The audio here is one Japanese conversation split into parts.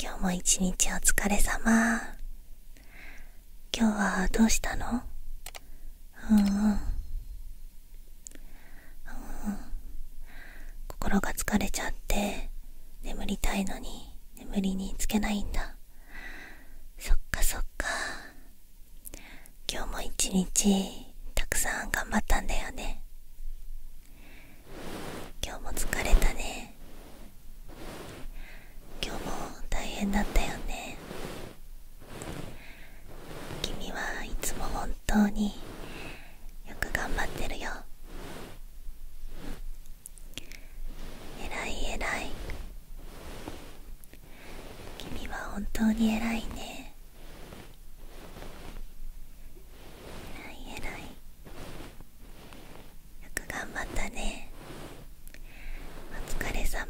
今日も一日お疲れ様今日はどうしたのうんうん、うん、心が疲れちゃって眠りたいのに眠りにつけないんだそっかそっか今日も一日たくさん頑張ったんだよね今日も疲れたね今日も大変だったよね君はいつも本当によく頑張ってるよ偉い偉い君は本当に偉いね偉い偉いよく頑張ったねお疲れ様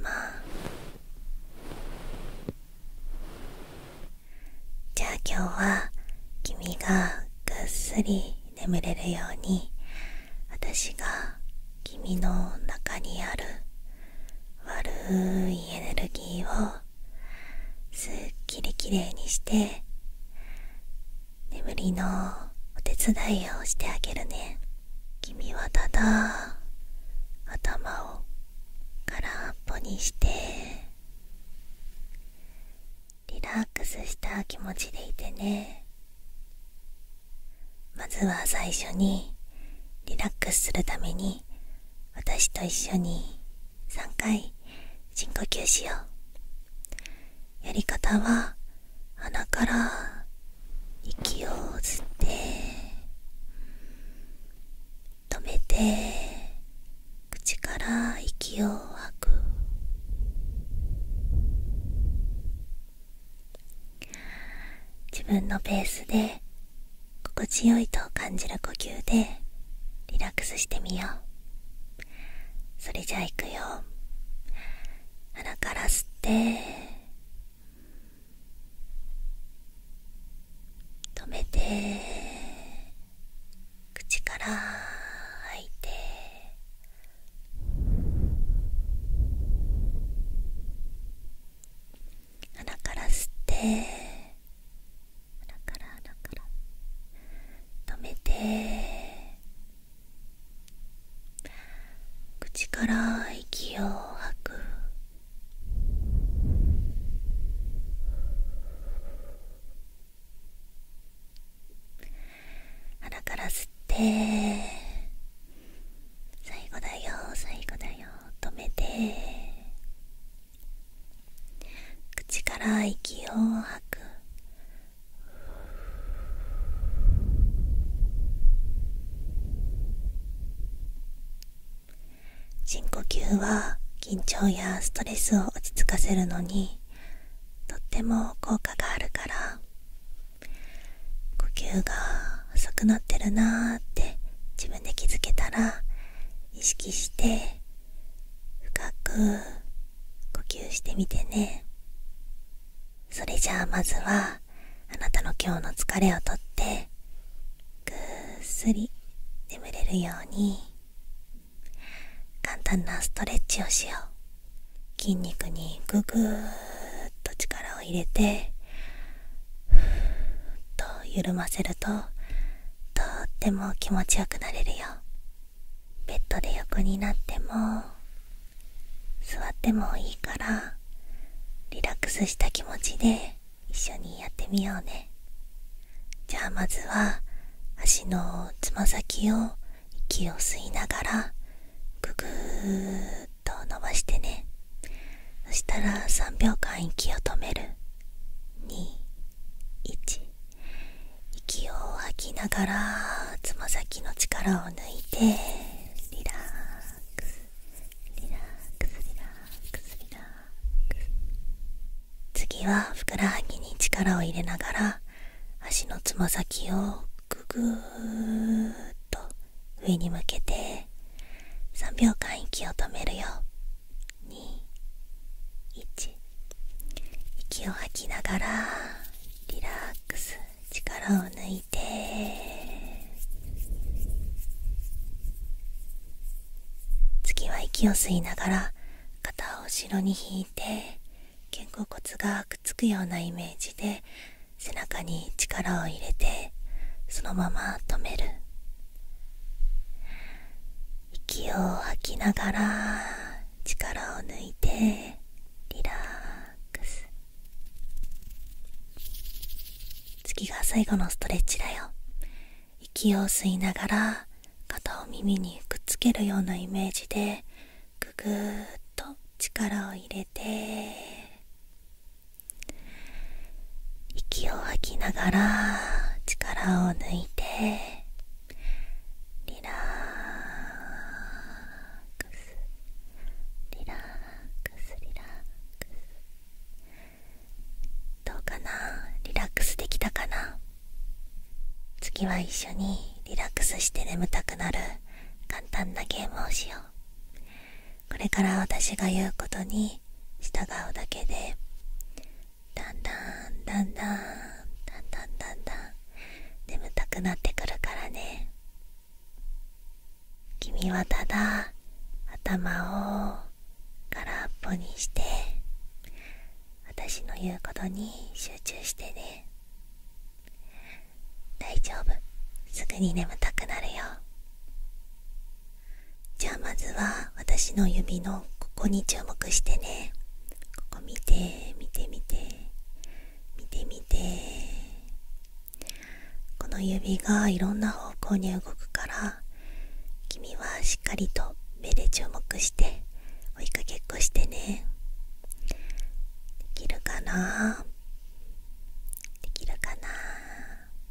じゃあ今日は君がぐっすり眠れるように私が君の中にある悪いエネルギーをすっきりきれいにして眠りのお手伝いをしてあげるね君はただ頭を空っぽにしてリラックスした気持ちでいてねまずは最初にリラックスするために私と一緒に3回深呼吸しようやり方は鼻から息を吸って止めて口から息を吐く自分のペースで心地よいと感じる呼吸でリラックスしてみよう。それじゃあいくよ鼻から吸って止めて口から吐いて鼻から吸って鼻から鼻から止めて口から息を吐く鼻から吸って最後だよ最後だよ止めて口から息を吐く深呼吸は緊張やストレスを落ち着かせるのにとっても効果があるから呼吸が遅くなってるなーって自分で気づけたら意識して深く呼吸してみてねそれじゃあまずはあなたの今日の疲れをとってぐっすり眠れるように簡単なストレッチをしよう筋肉にぐぐーっと力を入れてふっと緩ませるととっても気持ちよくなれるよベッドで横になっても座ってもいいからリラックスした気持ちで一緒にやってみようねじゃあまずは足のつま先を息を吸いながらぐぐっと伸ばしてねそしたら3秒間息を止める21息を吐きながらつま先の力を抜いてリラックスリラックスリラックスリラックス次はふくらはぎに力を入れながら足のつま先をぐぐーっと上に向けて3秒間息を止めるよ21息を吐きながらリラックス力を抜いて次は息を吸いながら肩を後ろに引いて肩甲骨がくっつくようなイメージで背中に力を入れてそのまま止める息を吐きながら力を抜いてリラックス次が最後のストレッチだよ息を吸いながら肩を耳にくっつけるようなイメージでぐぐっと力を入れて息を吐きながら力を抜いてリラックスリラックスリラックスどうかなリラックスできたかな次は一緒にリラックスして眠たくなる簡単なゲームをしようこれから私が言うことにに従うだけでだんだんだんだんだんだんだんだん眠たくなってくるからね君はただ頭を空っぽにして私の言うことに集中してね大丈夫すぐに眠たくなるよじゃあまずは私の指のここに注目してねここ見て見て見て見て見てこの指がいろんな方向に動くから君はしっかりと目で注目して追いかけっこしてねできるかなできるかな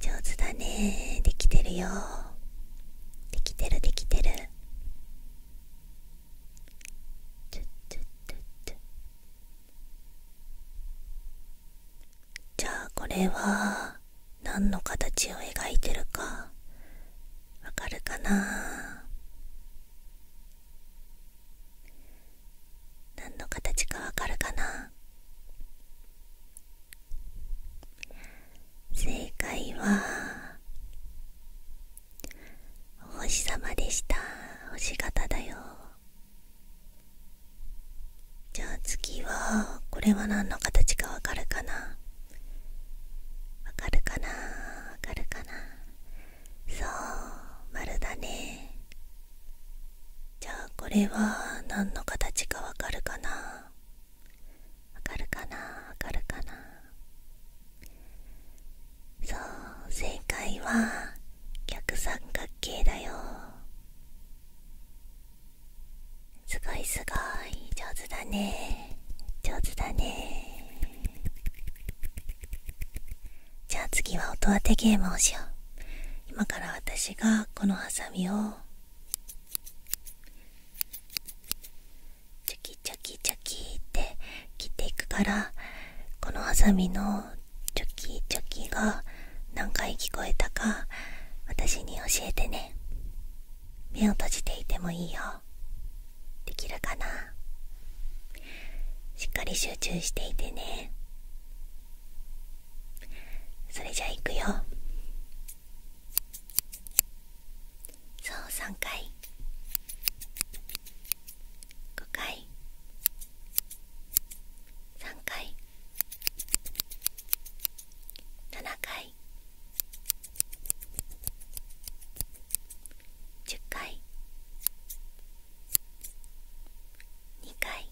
上手だねできてるよできてるできてるじゃあこれは何の形を描いてるかわかるかな何の形かわかるかな正解はお星様でした星型だよじゃあ次はこれは何の形かわかるかなわかるかなわかるかなそう丸だねじゃあこれは何の形かわかるかなわかるかなわかるかなそう正解は逆三角形だよすごいすごい上手だね上手だねじゃあ次は音当てゲームをしよう今から私がこのハサミをチョキチョキチョキって切っていくからこのハサミのチョキチョキが何回聞こえたか私に教えてね目を閉じていてもいいよできるかなしっかり集中していてねそれじゃあいくよそう3回5回3回7回10回2回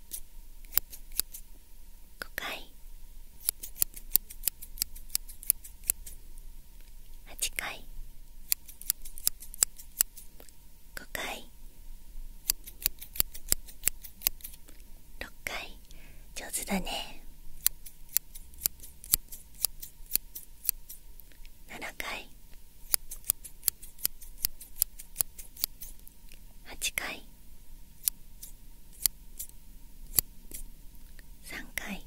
5回8回5回6回上手だね7回8回3回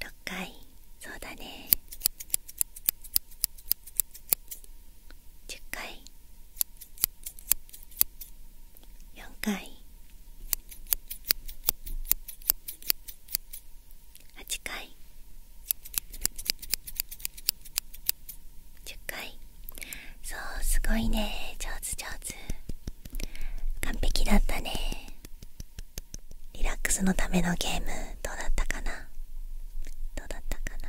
6回そうだね10回4回8回10回そうすごいね上手上手完璧だったねリラックスのためのゲームどうだったかなどうだったかな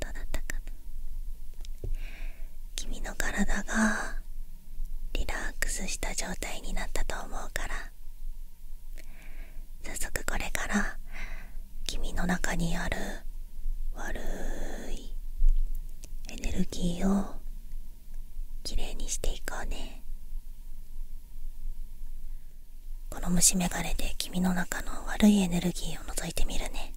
どうだったかな君の体がリラックスした状態になったと思うから早速これから君の中にある悪いエネルギーをきれいにしていこうねこの虫眼鏡で君の中の悪いエネルギーを除いてみるね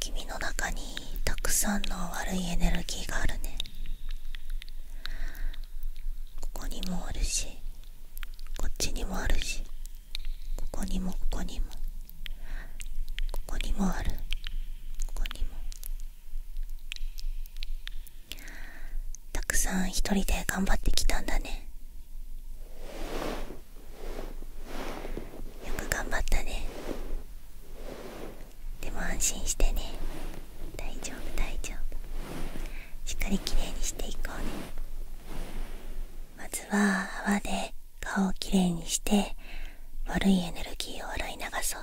君の中にたくさんの悪いエネルギーがあるねここにもあるしこっちにもあるしここにもここにもここにもあるここにもたくさん一人で頑張ってきたんだねよく頑張ったねでも安心してね大丈夫大丈夫しっかりきれいにしていこうねまずは泡で顔をきれいにして悪いエネルギーを洗い流そう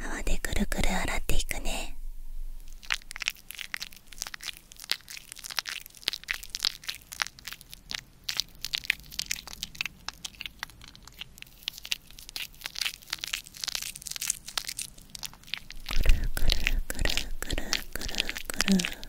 泡でくるくる洗っていくねくるくるくるくるくるくる。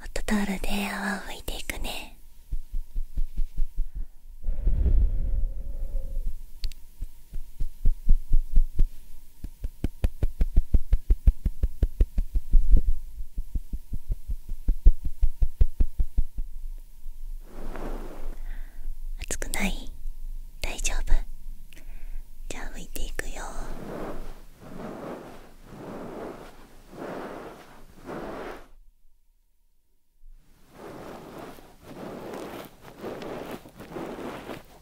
ホットタオルで泡を拭いていくね熱くない大丈夫じゃあ拭いていくよ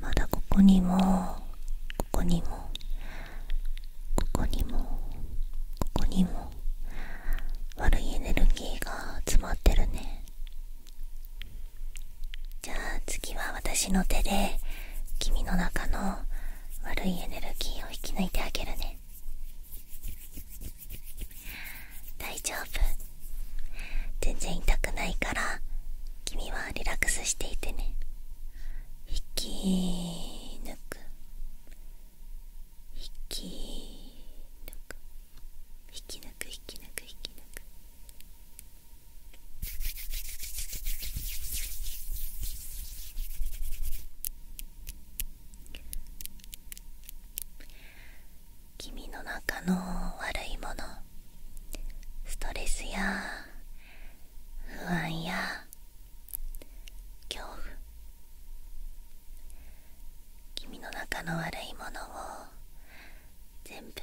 まだここにもここにもここにもここにも悪いエネルギーが詰まってるねじゃあ次は私の手で君の中の悪いエネルギーを引き抜いてあげるね大丈夫全然痛くないから君はリラックスしていてね引き抜く引き抜く引き抜く引き抜く引き抜く君の中の悪いものストレスや不安や恐怖君の中の悪いものを全部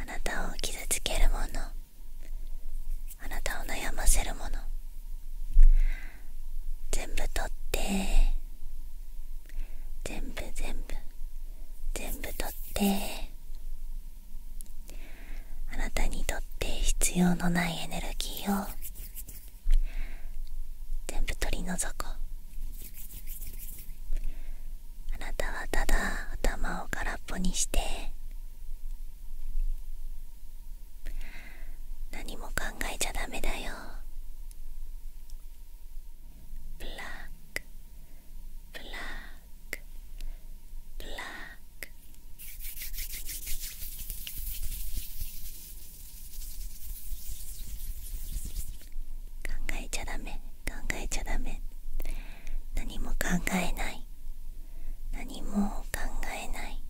あなたを傷つけるものあなたを悩ませるもの全部取って全部全部全部取ってあなたにとって必要のないエネルギーを全部取り除こうあなたはただ頭を空っぽにして何も考えちゃダメだよブラックブラックブラック考えちゃダメ考えちゃダメ何も考えない何も考えない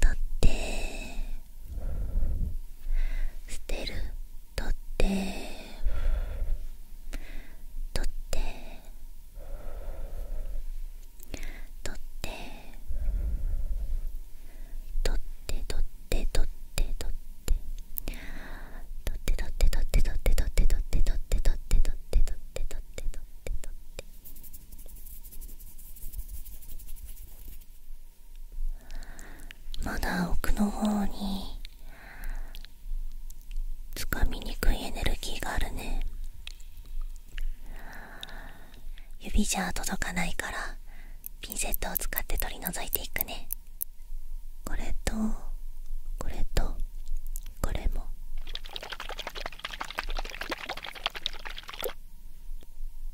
とって捨てるとってとってとって…とってとってとってとってとってとってとってとってとってとってとってとってとってとってとって取って取ってまだ奥の方につかみにくいエネルギーがあるね指じゃ届かないからピンセットを使って取り除いていくねこれとこれとこれも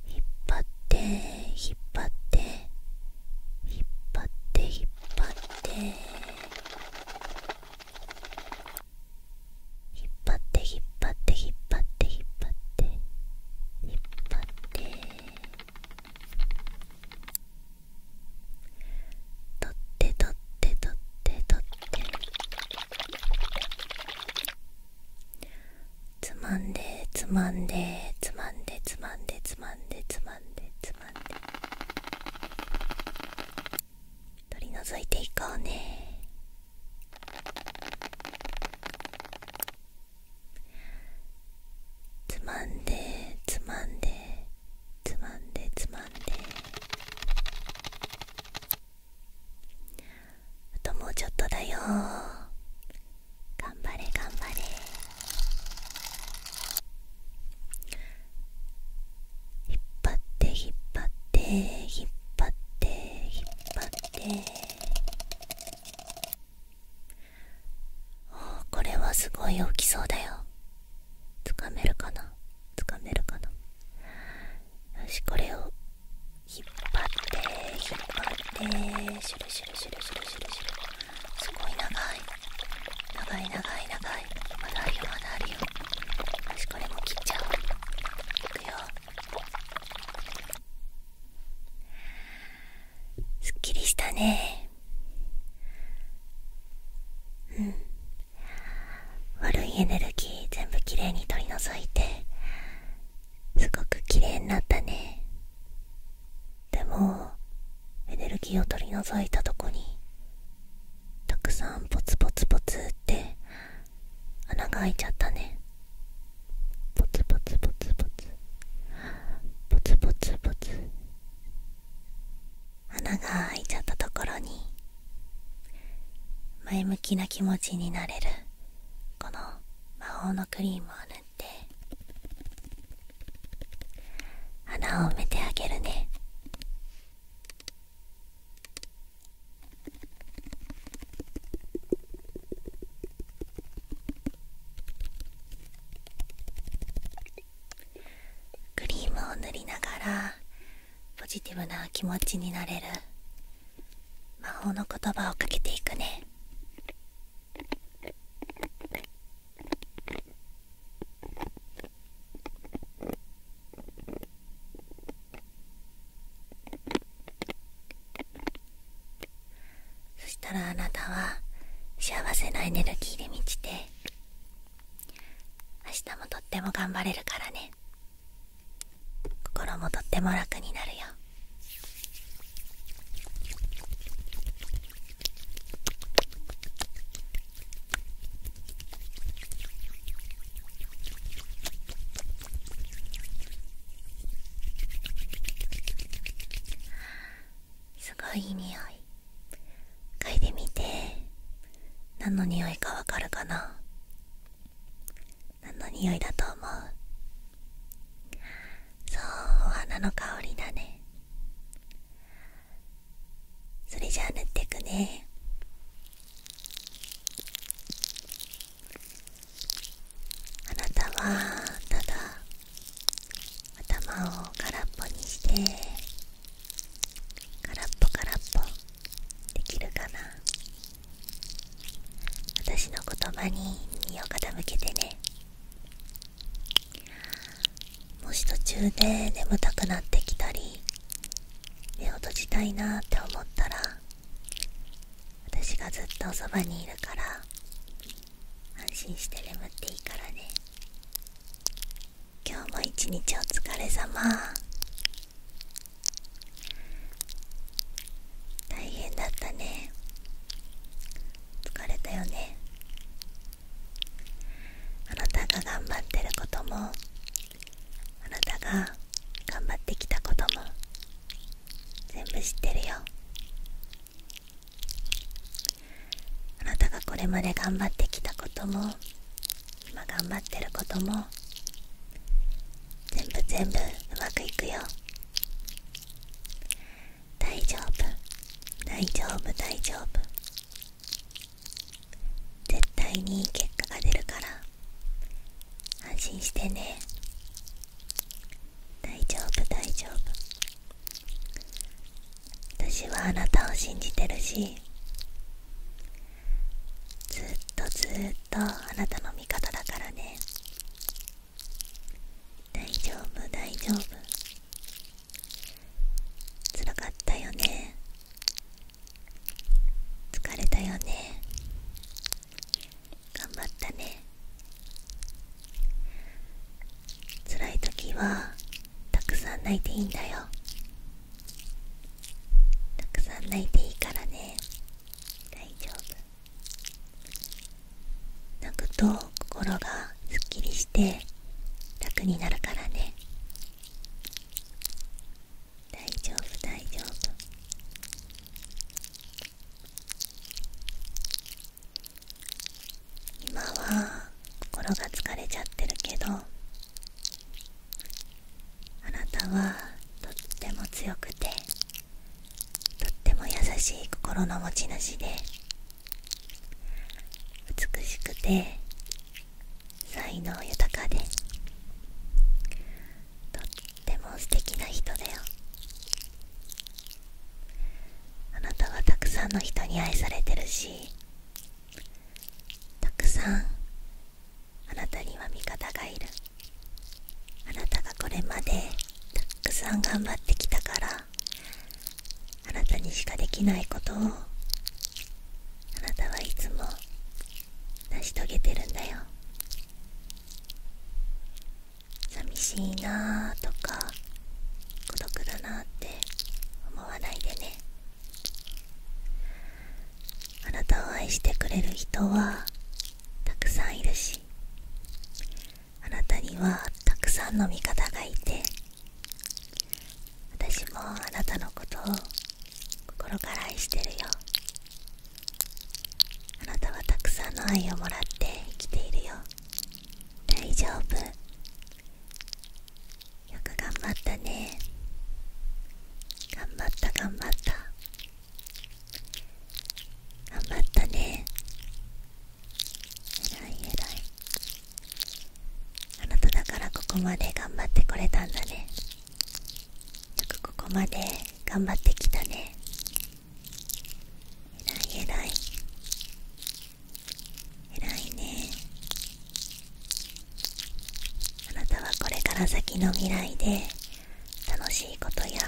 引っ張って引っ張って引っ張って引っ張って引っっ張って引っ張って引っ張って引っ張って引っ張って取って取って取って取ってつまんでつまんでつまんでつまんでつまんでつまんでつまんで取り除いていこうねつまんでつまんでつまんでつまんであともうちょっとだよ頑張れ頑張れ引っ張って引っ張って引っ張って引っ張って。ってこれはすごい大きそうだよつかめるかなつかめるかなよしこれを引っ張って引っ張ってシュルシュルシュルシュルシュルシュルすごい長い長い長い長いまだあるよまだあるよよしこれも切っちゃおういくよすっきりしたねうん悪いエネルギー全部きれいに取り除いてすごくきれいになったねでもエネルギーを取り除いたとこにたくさんポツポツポツって穴が開いちゃったねポツポツポツポツポツポツポが開いちゃったところに前向きな気持ちになれるこの魔法のクリームを塗って穴を埋めてあげるねクリームを塗りながらポジティブな気持ちになれる魔法の言葉をかけていくねそしたらあなたは幸せなエネルギーで満ちて明日もとっても頑張れるからね心もとっても楽になるよすごいいい匂い嗅いでみて何の匂いかわかるかな何の匂いだと思うそうお花の香りだねそれじゃあ塗ってくねあなたはただ頭を空っぽにして空っぽ空っぽできるかな私の言葉に耳を傾けてねもし途中で眠たくなってきたり目を閉じたいなって思ったら私がずっとそばにいるから安心して眠っていいからね今日も一日お疲れ様大変だったね疲れたよねあなたが頑張ってることもあなたが頑張ってきたことも全部知ってるよあなたがこれまで頑張ってきたことも今頑張ってることも全部全部うまくいくよ大丈夫大丈夫大丈夫絶対に結果が出るから安心してね大丈夫大丈夫私はあなたを信じてるしずっとずっとあなたの味方だからね大丈夫大丈夫つらかったよね疲れたよね頑張ったね辛い時はたくさん泣いていいんだよたくさん泣いていいからね大丈夫泣くと心がすっきりして楽になるからね大丈夫大丈夫今は心が疲れちゃってるけどあなたはとっても強くてとっても優しい心の持ち主で美しくて才能豊かでとっても素敵な人だよあなたはたくさんの人に愛されてるしたくさんあなたには味方がいるあなたがこれまでたくさん頑張ってきたからあなたにしかできないことをあなたはいつも成し遂げてるんだよ寂しいなーとか孤独だなって思わないでねあなたを愛してくれる人はたくさんいるしあなたにはたくさんの味方がいて私もあなたのことを心から愛してるよあなたはたくさんの愛をもらって生きているよ大丈夫よく頑張ったね頑張った頑張った頑張ったねえらいえいあなただからここまで頑張ってこれたんだねくここまで頑張ってきたねえらいえらいえらいねあなたはこれから先の未来で楽しいことや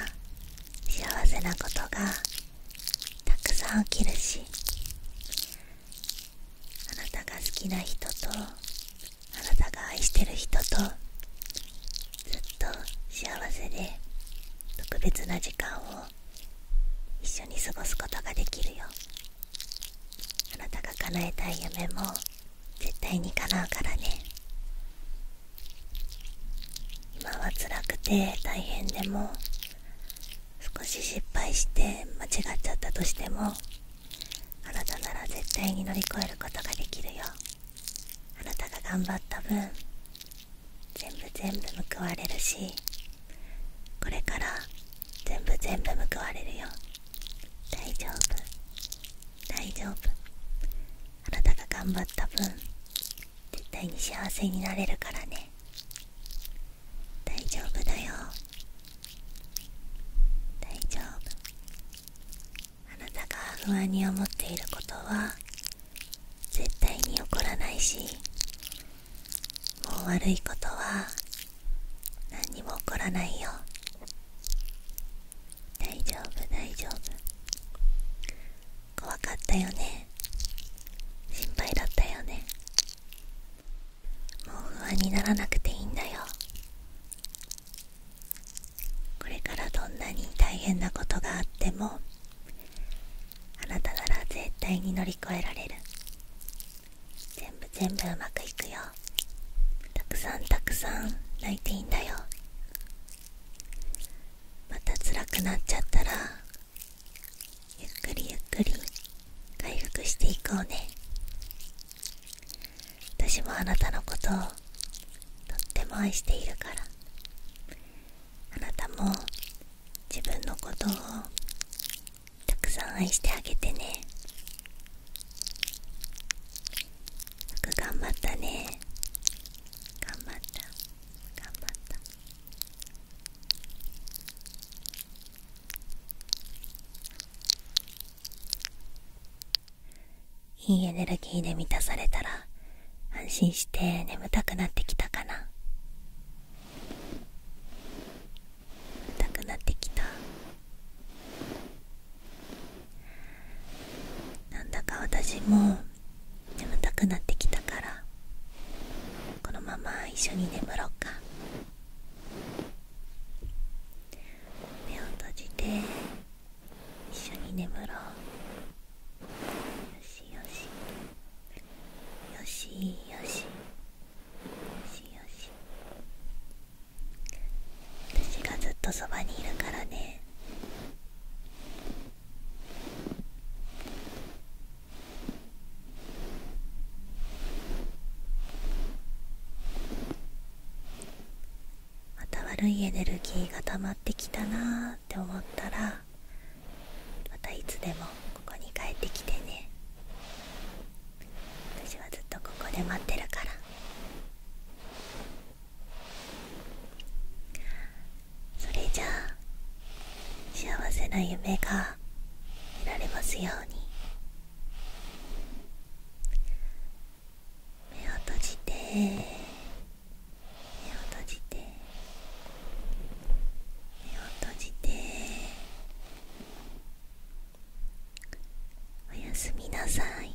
幸せなことがたくさん起きるしあなたが好きな人とあなたが愛してる人とずっと幸せで特別な時間を一緒に過ごすことができるよあなたが叶えたい夢も絶対に叶うからね今は辛くて大変でも少し失敗して間違っちゃったとしてもあなたなら絶対に乗り越えることができるよあなたが頑張った分全部全部報われるしこれから全部全部報われるよ大丈夫大丈夫あなたが頑張った分絶対に幸せになれるからね大丈夫だよ大丈夫あなたが不安に思っていることは絶対に起こらないしもう悪いことは何にも起こらないよ大丈夫大丈夫怖かったよね心配だったよねもう不安にならなくていいんだよこれからどんなに大変なことがあってもあなたなら絶対に乗り越えられる全部全部うまくいくよたくさんたくさん泣いていいんだよまた辛くなっちゃったらゆっくりゆっくり回復していこうね私もあなたのことをとっても愛しているからあなたも自分のことをたくさん愛してあげてねよく頑張ったね頑張った頑張ったいいエネルギーで満たされたら安心して眠たくなってきたかな眠たくなってきたなんだか私も眠たくなってきたからこのまま一緒に眠ろうか目を閉じて一緒に眠ろうよしよしよしよしよしよし私がずっとそばにいるからねまた悪いエネルギーが溜まってきたなーって思ったらまたいつでもここに帰ってきてね私はずっとここで待ってるからそれじゃあ幸せな夢が見られますように。目を閉じて目を閉じて目を閉じておやすみなさい